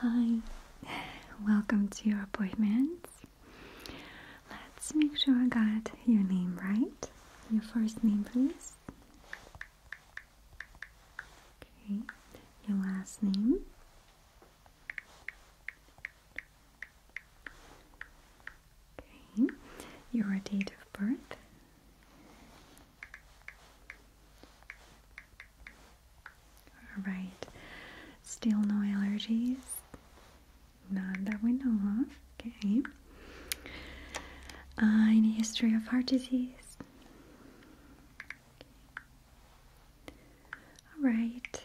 Hi, welcome to your appointment. Let's make sure I got your name right. Your first name, please. Okay, your last name. Okay, your date of birth. Alright, still no allergies? None that we know of. Okay. Uh, any history of heart disease? Alright.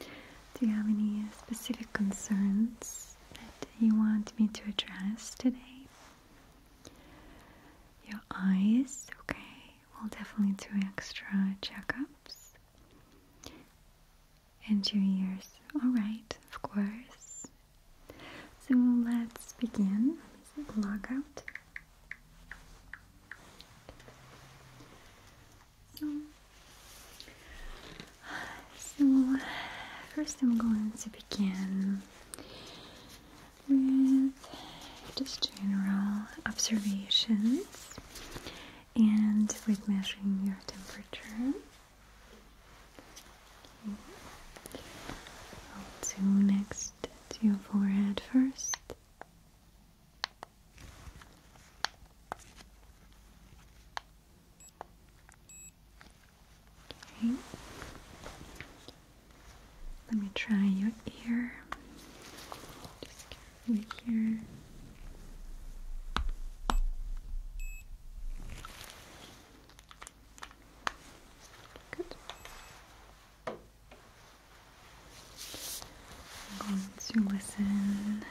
Do you have any specific concerns that you want me to address today? Your eyes, okay, we'll definitely do extra checkups. And your ears, alright, of course. So let's begin. Let me log out. So, so, first I'm going to begin with just general observations and with measuring your temperature. I'll do next to your forehead first. Let me try your ear. Just here. Good. going to listen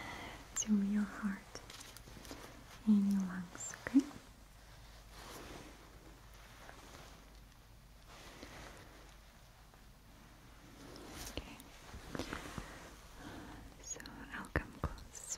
to your heart in your lungs, okay? Okay. So I'll come close.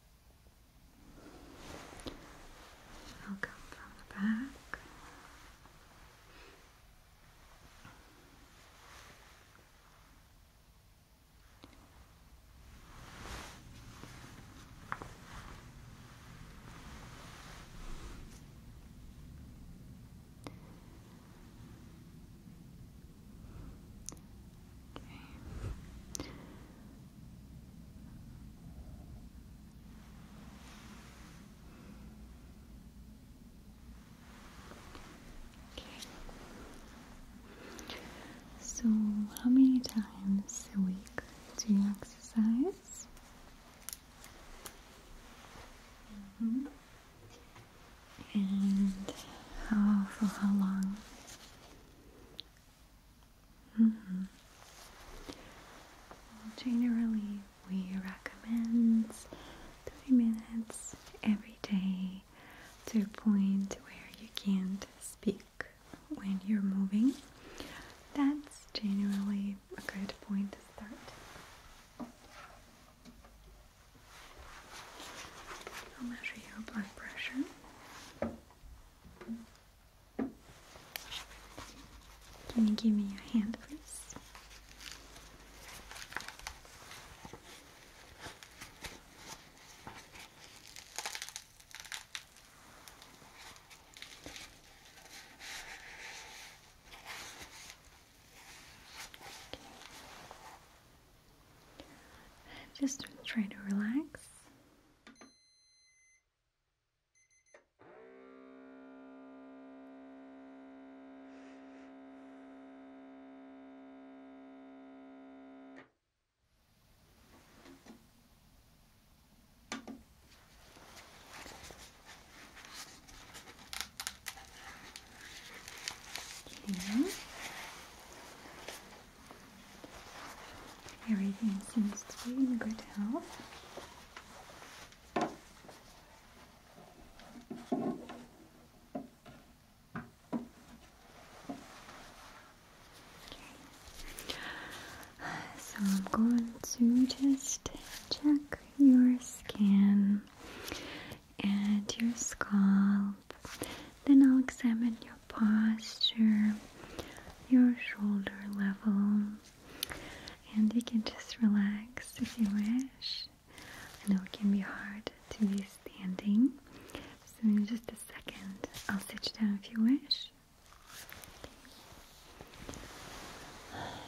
I'll come from the back. So, how many times a week do you exercise? Mm-hmm. And for how long? Mm-hmm. generally, we recommend 30 minutes every day to a point where you can't speak when you're moving. That's generally a good point to start. I'll measure your blood pressure. Can you give me your hand, please? just try to relax. Okay. Everything seems to be in good health. So I'm going to just check your skin and your scalp then I'll examine your posture, your shoulder level, and you can just relax if you wish. I know it can be hard to be standing, so in just a second I'll sit you down if you wish.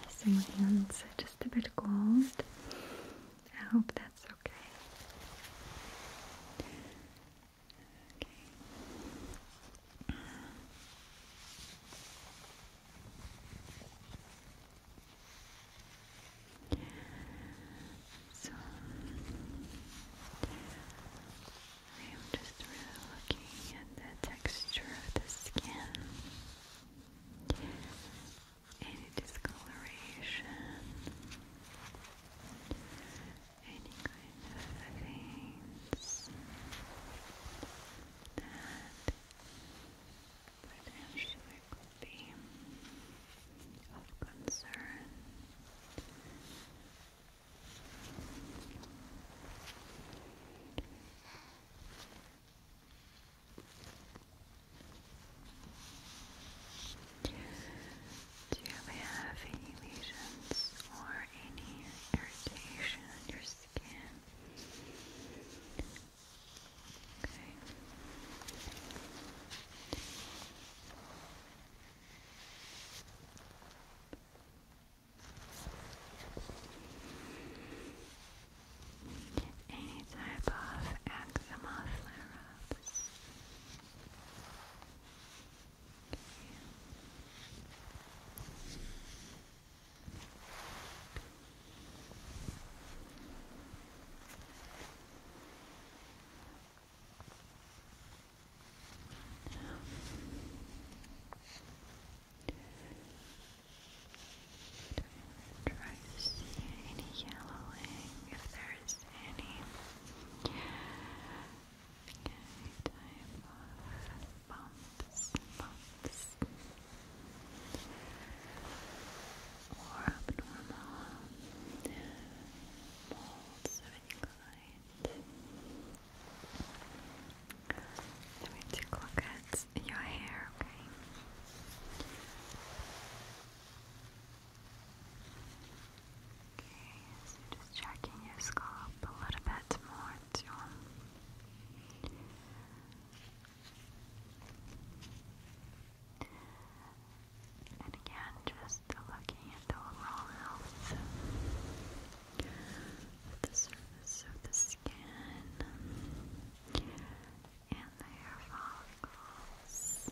So my hands are just a bit cold. I hope that's okay. Okay. So I am just really looking at the texture of the skin any discoloration any kind of veins that potentially could be of concern. Do you have any lesions or any irritation on your skin? Any type of eczema flare ups? Try to see any yellowing if there is any any type of bumps, bumps or abnormal molds of any kind. Let me take a look at your hair, okay? Okay, so just checking your scalp a little bit more And again, just looking at the overall health of the surface of the skin and the hair follicles.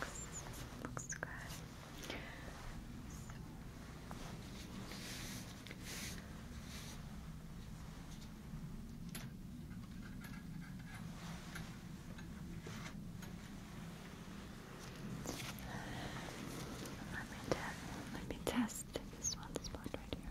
Looks, looks good. Let me, let me test this one right here.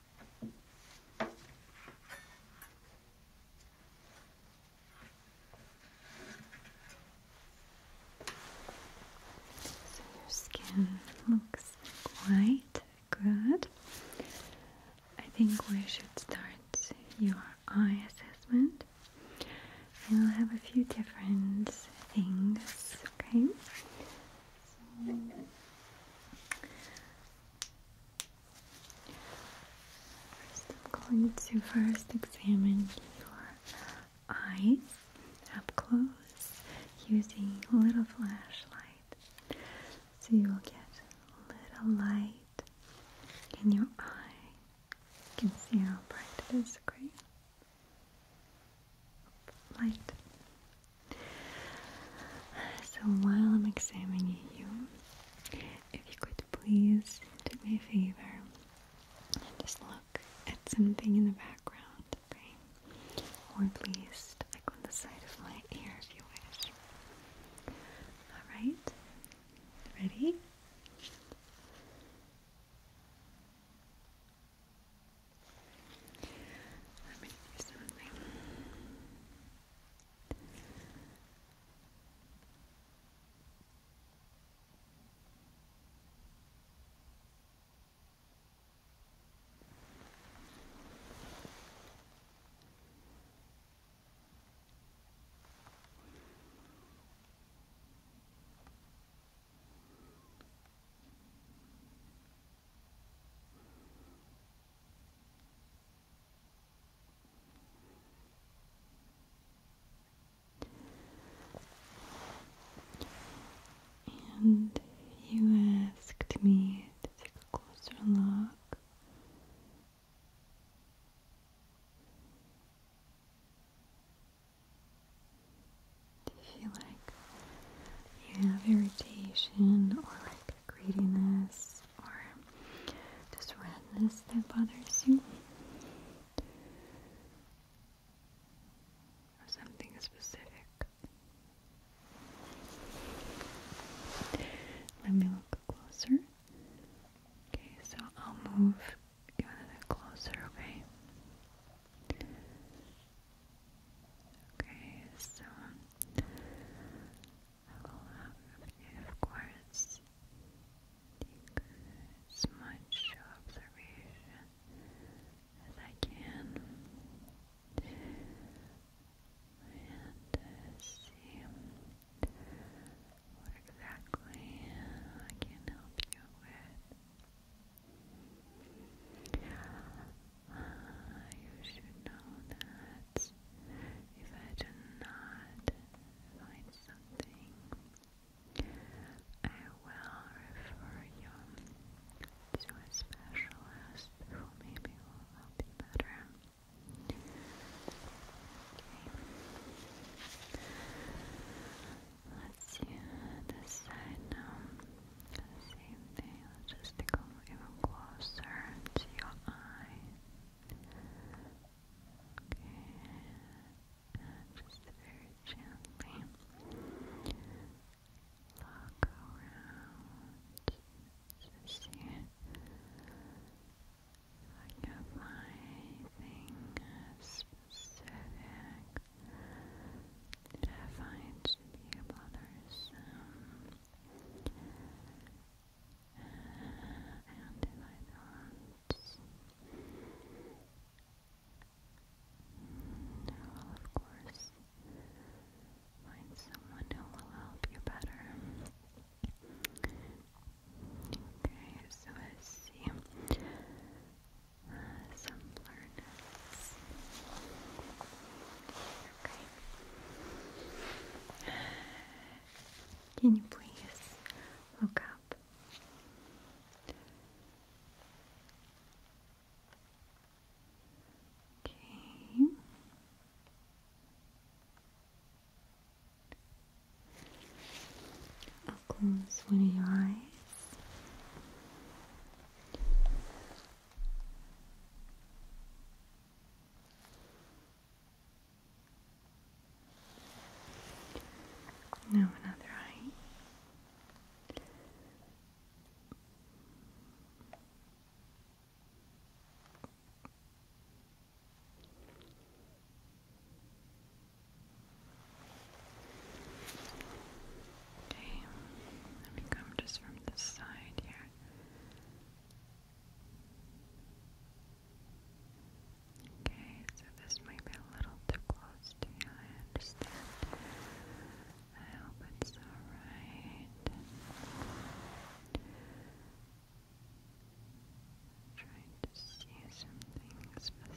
So your skin looks quite good. I think we should start your eye assessment. we will have a few different things, okay? So, i I'm going to first examine your eyes up close using a little flashlight. So you will get a little light in your eye. You can see how bright it is, great. Light so while I'm examining you, if you could please do me a favor and just look at something in the background, okay? Or please look on the side of my ear if you wish. Alright? Ready? Let me do something. Okay. And you asked me to take a closer look. Do you feel like you have irritation or like greediness or just redness that bothers you? Or something specific? Let me look closer. Okay, so I'll move you a little closer, okay? Okay, so I will have you, of course, as much observation as I can and uh, see what exactly I can help you with. Ah, you should know that if I do not find something, I will refer you to a specialist who maybe will help you better. Let's see this side now. Same thing, let's come even closer to your eye. Okay, just very gently look around see if I can find anything specific finds the blotters. Um, and if I don't, I will of course find someone who will help you better. Okay, so I see some blurredness. Can you please look up? Okay. close one of your eyes. Now another eye. Okay, let me come just from the side here. Okay, so this might be a little too close to you, I understand. I hope it's alright. Trying to see something specific.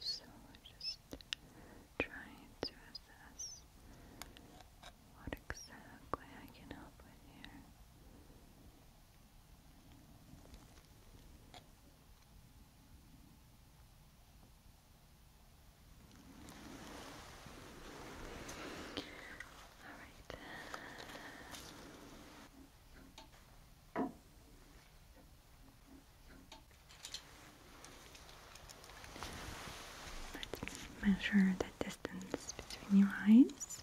So we just trying to assess what exactly I can help with here right. Let's measure the distance between your eyes.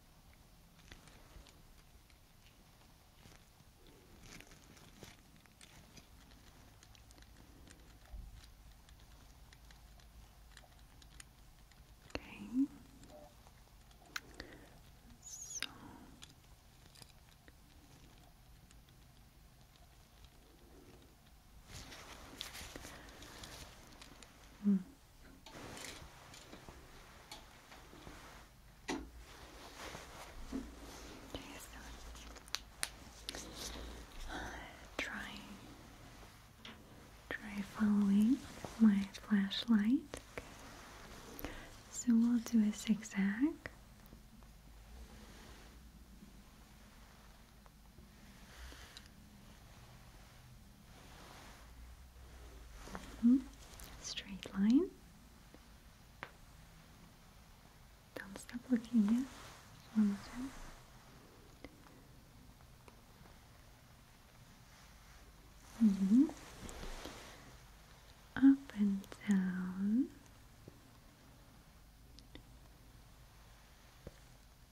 Okay. So mm try try following my flashlight. So we'll do a zigzag. Hmm? Straight line. Don't stop looking yet. One more time. Mm-hmm. Up and down.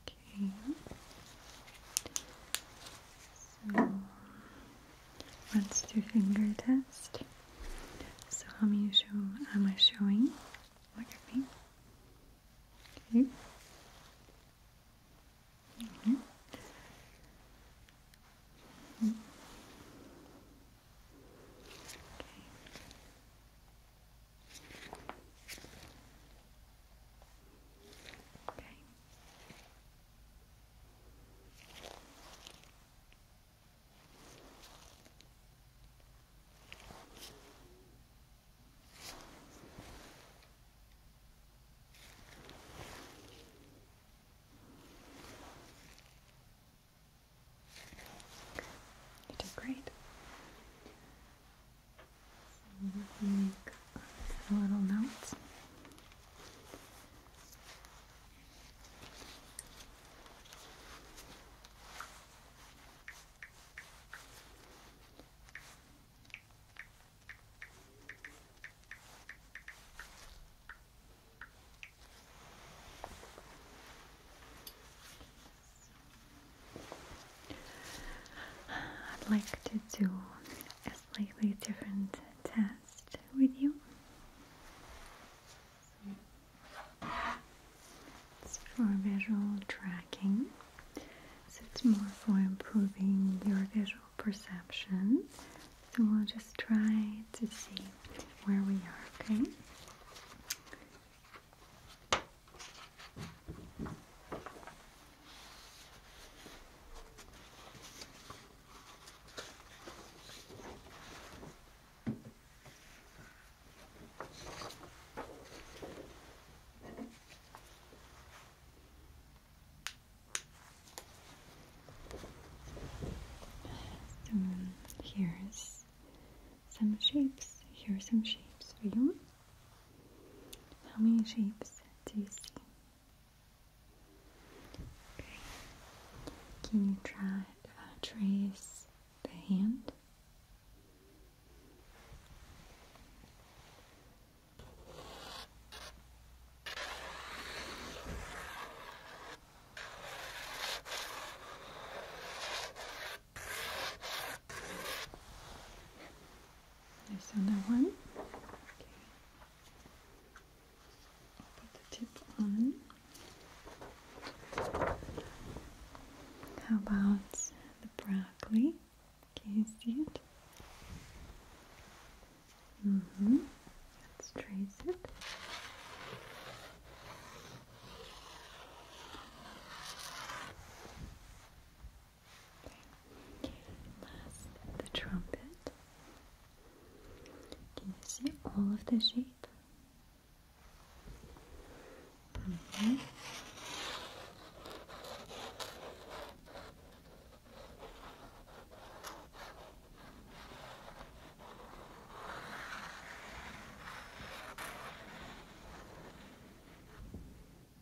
Okay. So let's do finger test. So how am I showing? Look at me. Okay. Mm-hmm. Okay. You did great. So make a little note. I'd like to do a slightly different test with you. It's for visual tracking, so it's more for improving your visual perception. So we'll just try to see where we are, okay? Um, here's some shapes. Here are some shapes for you. How many shapes do you see? Can you try uh, trace the hand? There's another one. Okay. Put the tip on. How about the broccoli? Can you see it? Mm-hmm. Let's trace it. Last, the trumpet. Can you see all of the shape?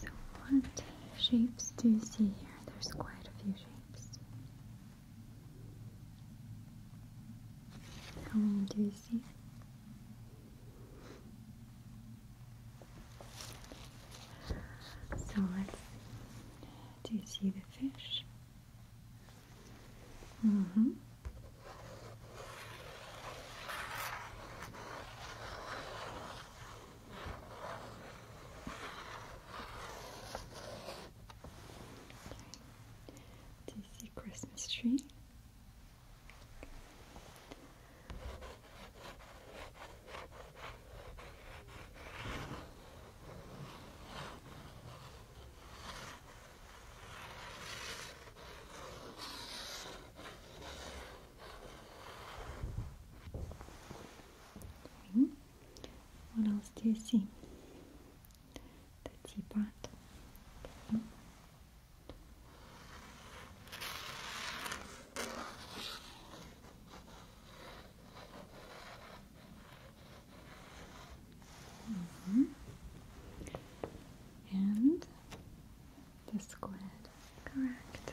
So what shapes do you see here? There's quite a few shapes. How many do you see? So Do you see the fish? Mm-hmm. This is the Christmas tree. What else do you see? The teapot. Mm-hmm. And the squid. Correct.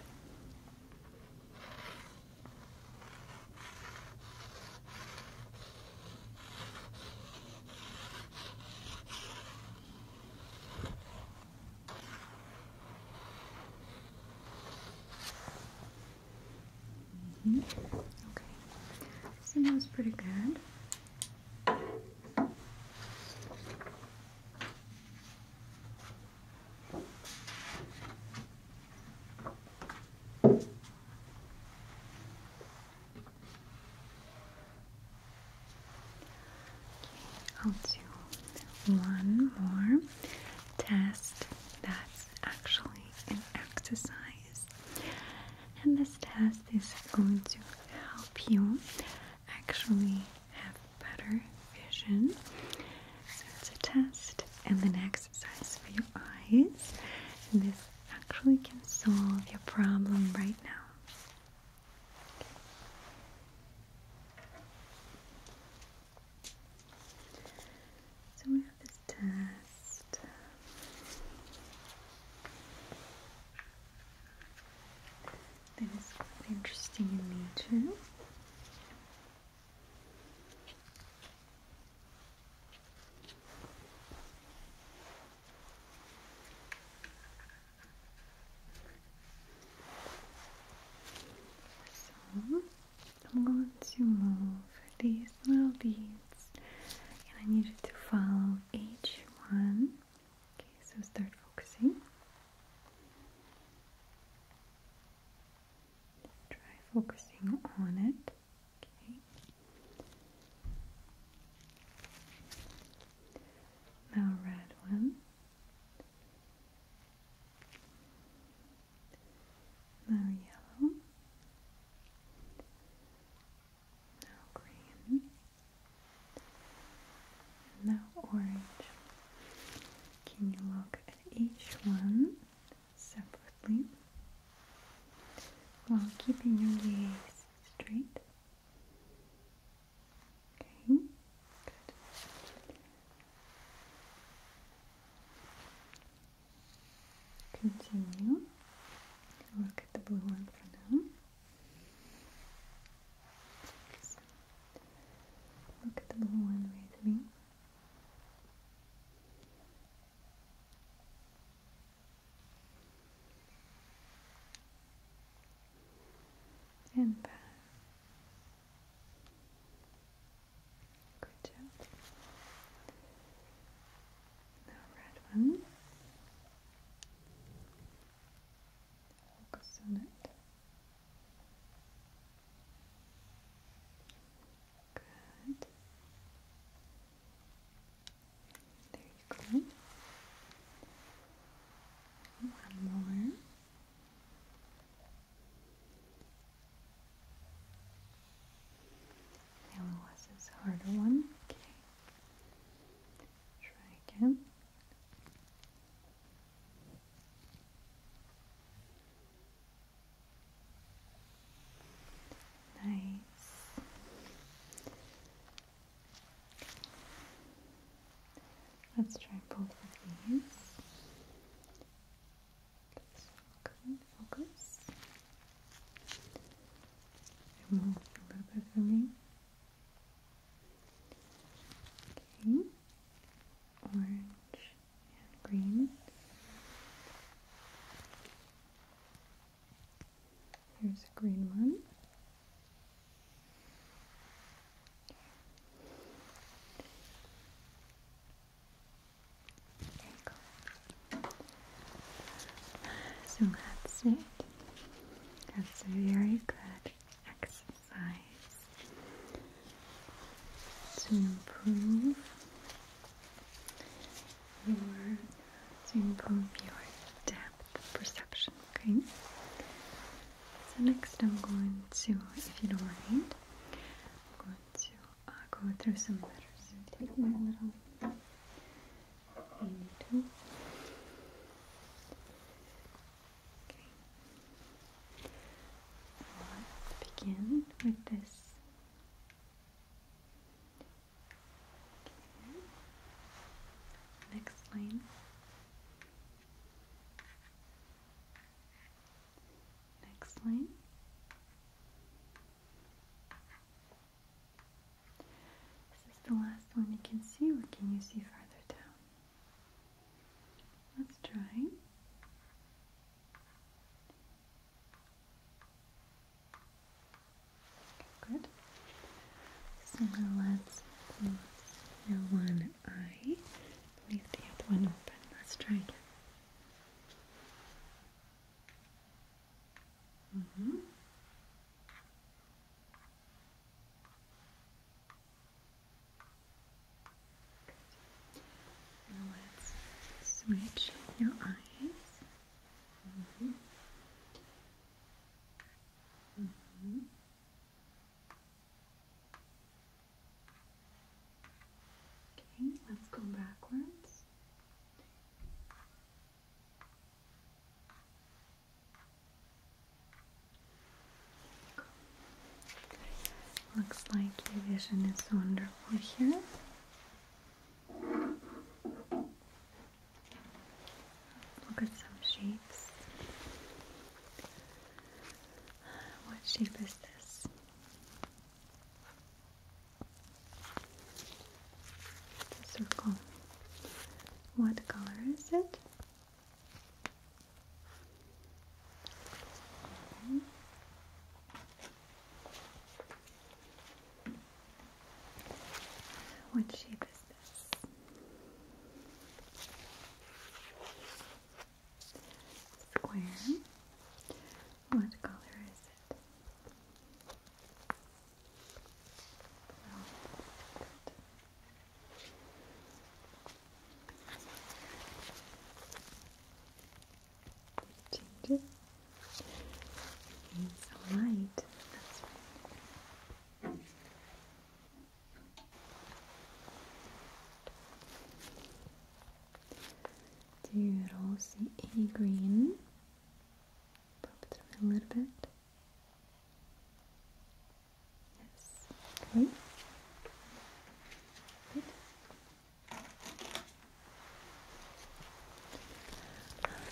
Mm-hmm. Okay, so that pretty good. I'll do one more test that's actually an exercise, and this test is going to help you actually have better vision. So it's a test and the next exercise for your eyes. this actually can solve your problem right now. So we have this test. That is quite interesting in nature. So I'm going to move these little beads and I need to follow each one Okay, so start focusing. Try focusing on it. Okay. Now, red one. Now, yellow now green, and now orange. Can you look at each one separately while keeping your gaze straight? Okay, good. Continue. Look at the blue one for now. Six. Look at the blue one with me. And back. Good job. Now red one. Focus on it. Good. There you go. One more. Yellow was harder one. Okay. Try again. Nice. Let's try both of these. Focus, focus. Remove a little bit for me. Okay, orange and green. Here's a green one. There you go. So that's it. That's a very good exercise to improve your to improve your depth perception. Okay. So next, I'm going to, if you don't mind, I'm going to uh, go through some letters. Let's begin with this. Next line. Next line. This is the last one you can see, or can you see farther down? Let's try. Good. So now let's close your one eye, leave the other one open. Let's try again. Mm -hmm let's switch your eyes. Mm-hmm. Okay, let's go backwards. Looks like your vision is wonderful here. Look at some shapes. What shape is this? It's circle. What color is it? Mm-hmm. What shape is this? Square. What color is it? Changes. It's all right. That's Do you all see any green? a little bit. Yes. Okay. Good.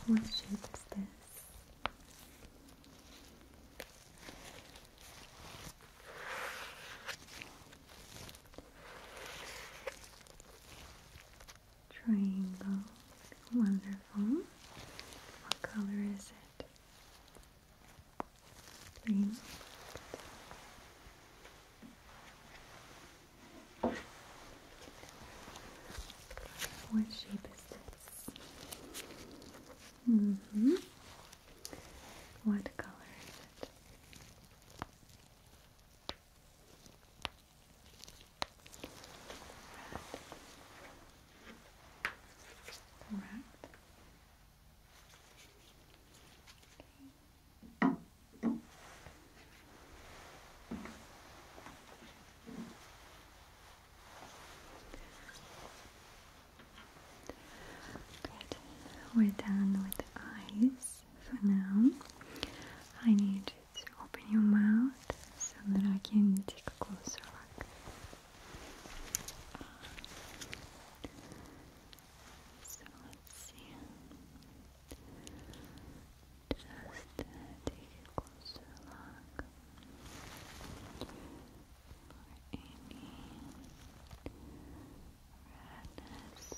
What shape is this? Triangle. Wonderful. What color is it? Green. What shape is this? Mm-hmm. What color is it? We're done with the eyes for now. I need you to open your mouth so that I can take a closer look. So let's see. Just take a closer look for any redness.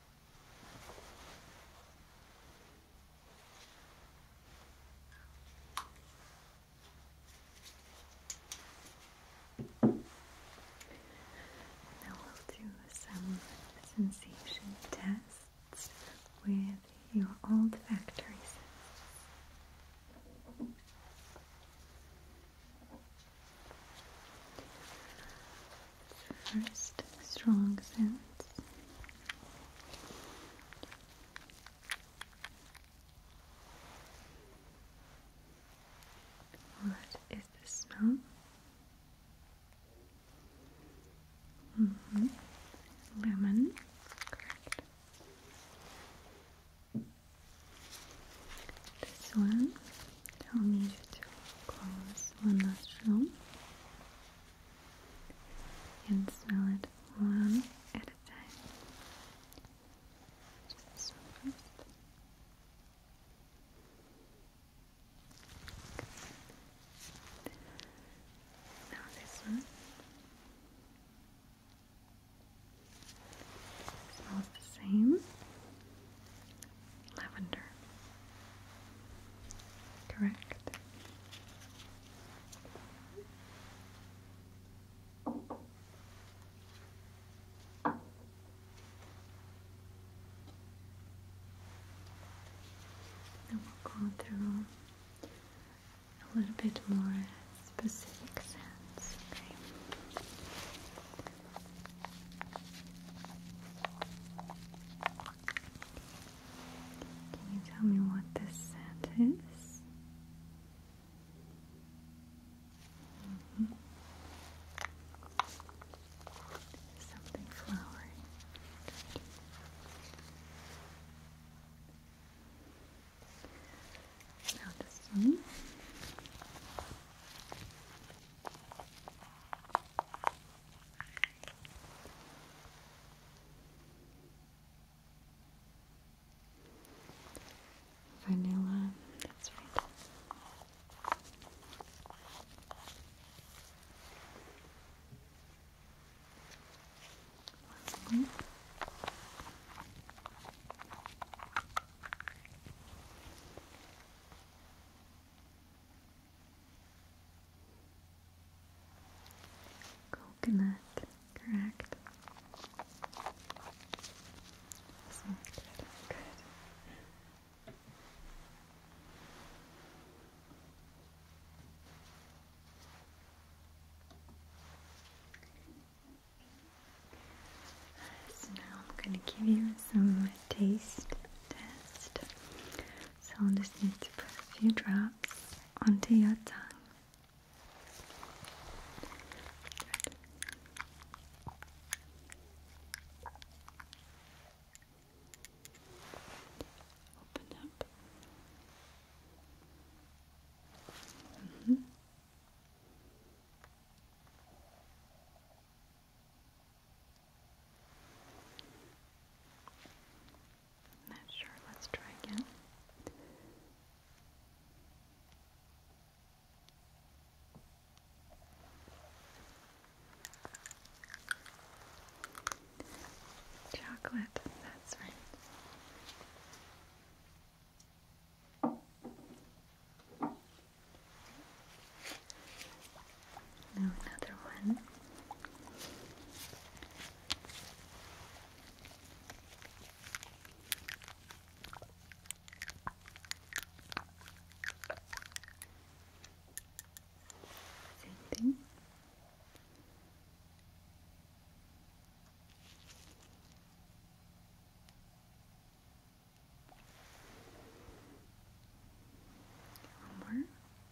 Now we'll do some sensation tests with your old factory First, strong sense. What is the smell? -hmm. Lemon, correct. This one, I'll to close one last room and sell it one at a time. Now this one. It's the same lavender. Correct. And we'll go through a little bit more specific sense. Okay. Can you tell me what this scent is? Mm-hmm. Something flowery. Now this one. Vanilla, that's right. One Coconut, correct. Awesome. Good. Good. So now I'm going to give you some taste test. So I'll just need to put a few drops onto your tongue. Open up. Mm-hmm. Not sure. Let's try again. Chocolate, that's right. Now another one. Same thing. One more.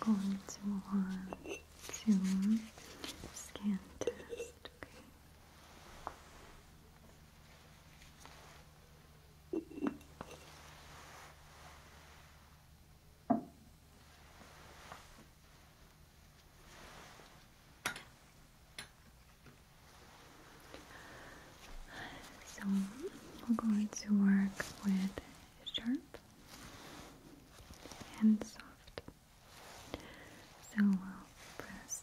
going to want to scan test, okay? So we're going to work with sharp and soft. So we'll press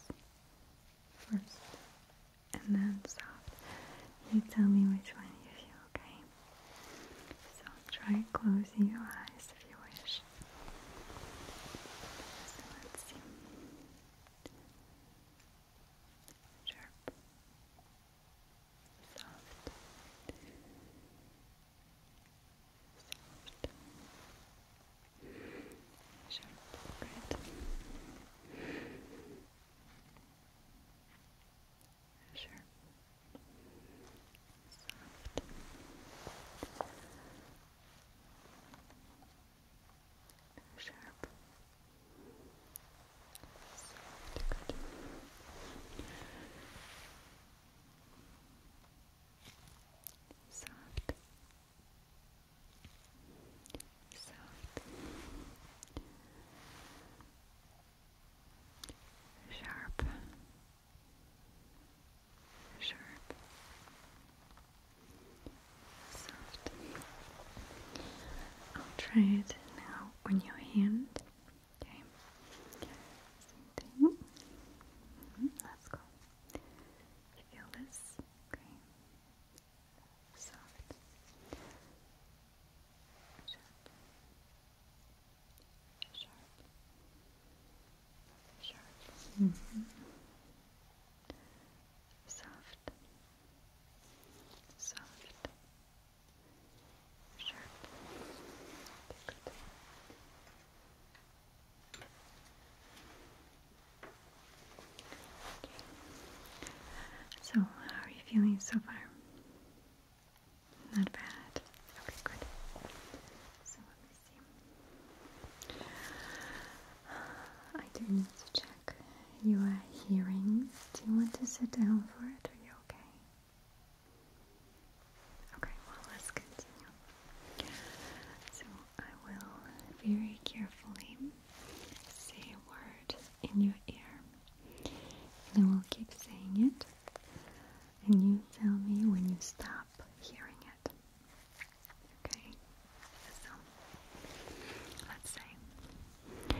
first and then soft. You tell me which one you feel, okay? So try closing your eyes if you wish. So let's see. Sharp soft, soft, sharp, great. Sure. Soft. Sharp. Soft, Soft. Sharp. Sharp. Soft. I'll try it now on your hand. Okay. Let's mm-hmm. go. You feel this? Okay. Soft. Sharp. Sharp. Mm-hmm. soft, soft, so, how are you feeling so far? Not bad. Okay, good. So, let me see. I do need to check your hearing. Do you want to sit down for it or you okay? Okay, well, let's continue. So, I will very carefully say a word in your ear, and I will keep saying it, and you tell me when you stop hearing it. Okay, so let's say, okay,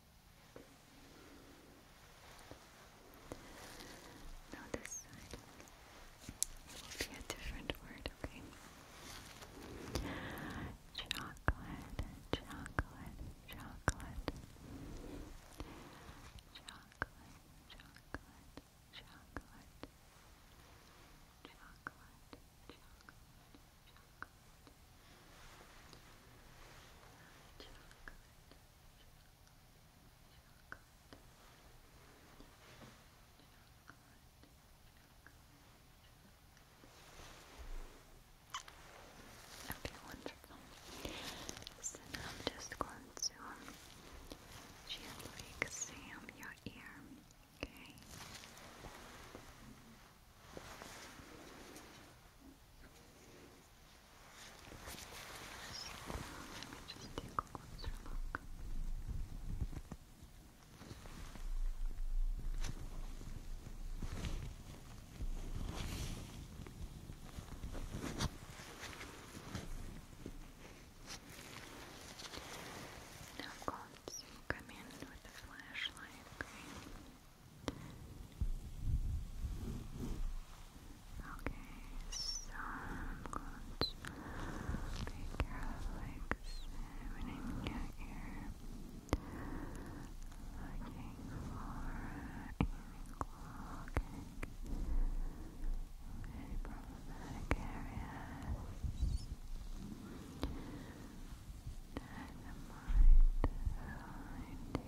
now this side will be a different word, okay? chocolate. Chocolate, chocolate, chocolate. Chocolate, chocolate, chocolate. Okay, wonderful. So I'm just going to gently examine your ear. Okay. Let me just take a closer look. Now I'm going come in with the flashlight, okay? Okay, so I'm going to be careful examining your ear, looking for any clogging, any problematic areas that might find your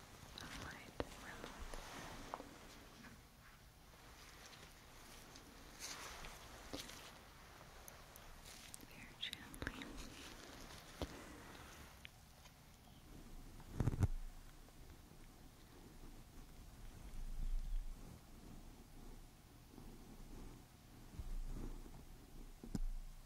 Alright, Very gently. Good.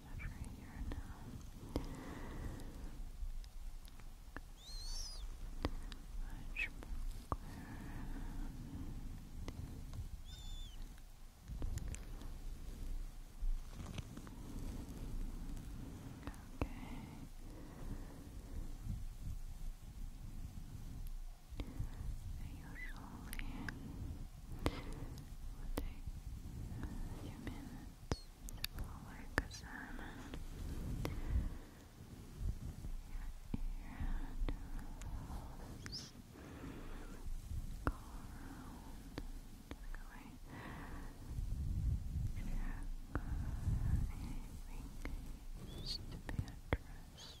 over here now. It's much more clear. We'll a few minutes to follow your ear nerves. Go around and anything needs to be addressed.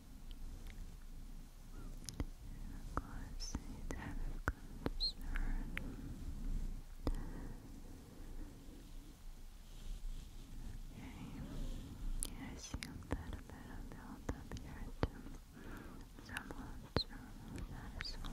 Of course, it's out of Okay, I see a little bit of build up here too. So I'm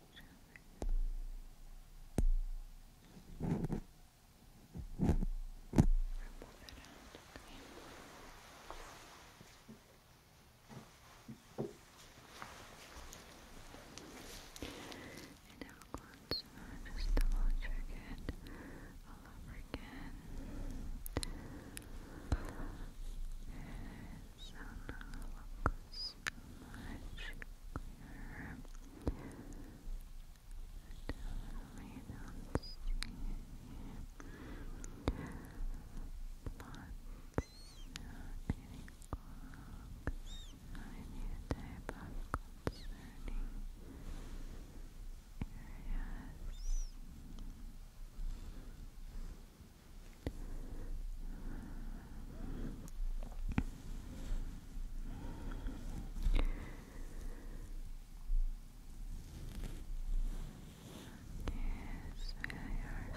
Remove it just double check it all over again. It's on the locus much clearer. Totally don't see lots concerning areas. Yes. Yes, you're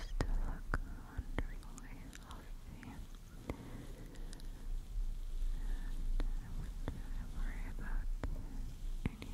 still looking wonderfully healthy. I wouldn't worry about anything.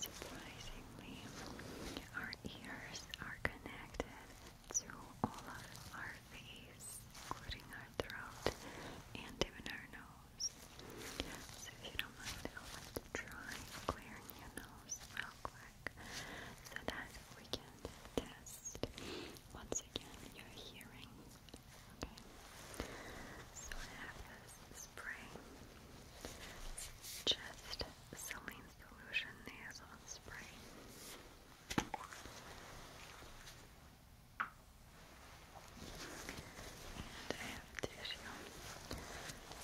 Surprisingly, our ears are connected to all of our face, including our throat and even our nose. So if you don't mind, I would try clearing your nose real quick so that we can test once again your hearing. Okay? So I have this spray. just saline solution there, I'll spray. And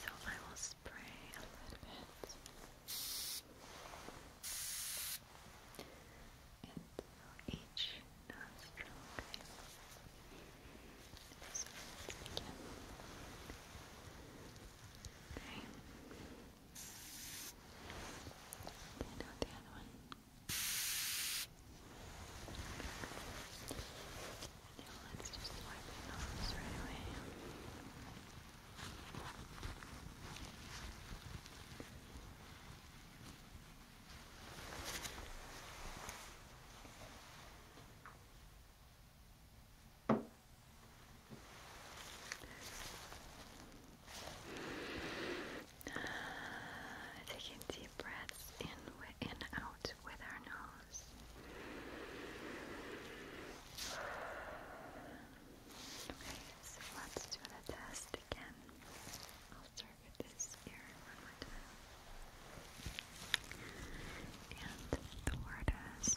so I will spray a little bit. And each nostril, Okay. Okay, now the other one. And now let's just wipe your nose right away. Okay. Taking deep breaths in and out with our nose. Okay, so let's do the test again. I'll start with this ear one more time. And the word is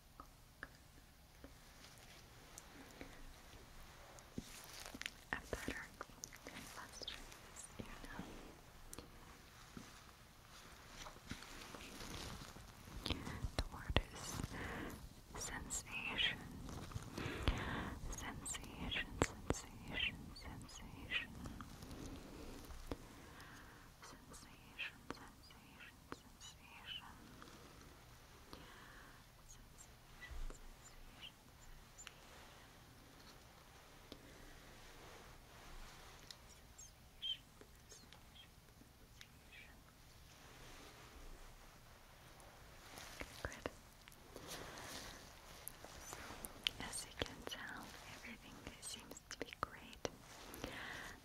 A pattern that illustrates The word is sensation. Sensation, sensation, sensation. Sensation, sensation sensation. Good. as you can tell, everything seems to be great.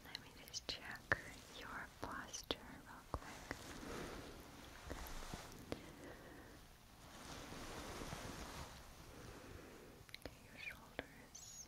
Let me just check your posture real quick. Okay, your shoulders.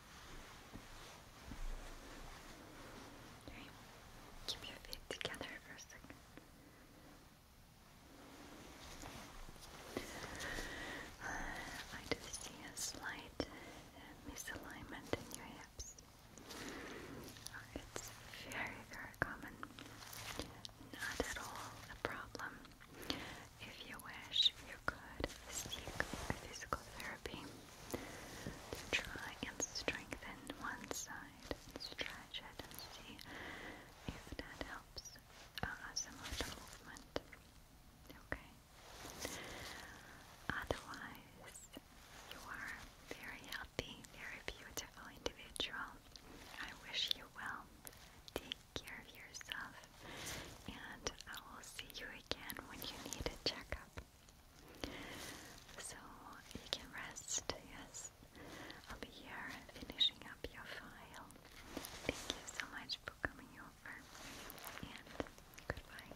Keep your feet together for a second. Uh, I do see a slight misalignment in your hips. Uh, it's very, very common. Not at all a problem. If you wish, you could seek physical therapy to try and strengthen one side stretch it and see if that helps uh, movement. Okay. Otherwise, you are very healthy, very beautiful individual. I wish you well. Take care of yourself, and I will see you again when you need a checkup. So you can rest, yes. I'll be here finishing up your file. Thank you so much for coming over and goodbye.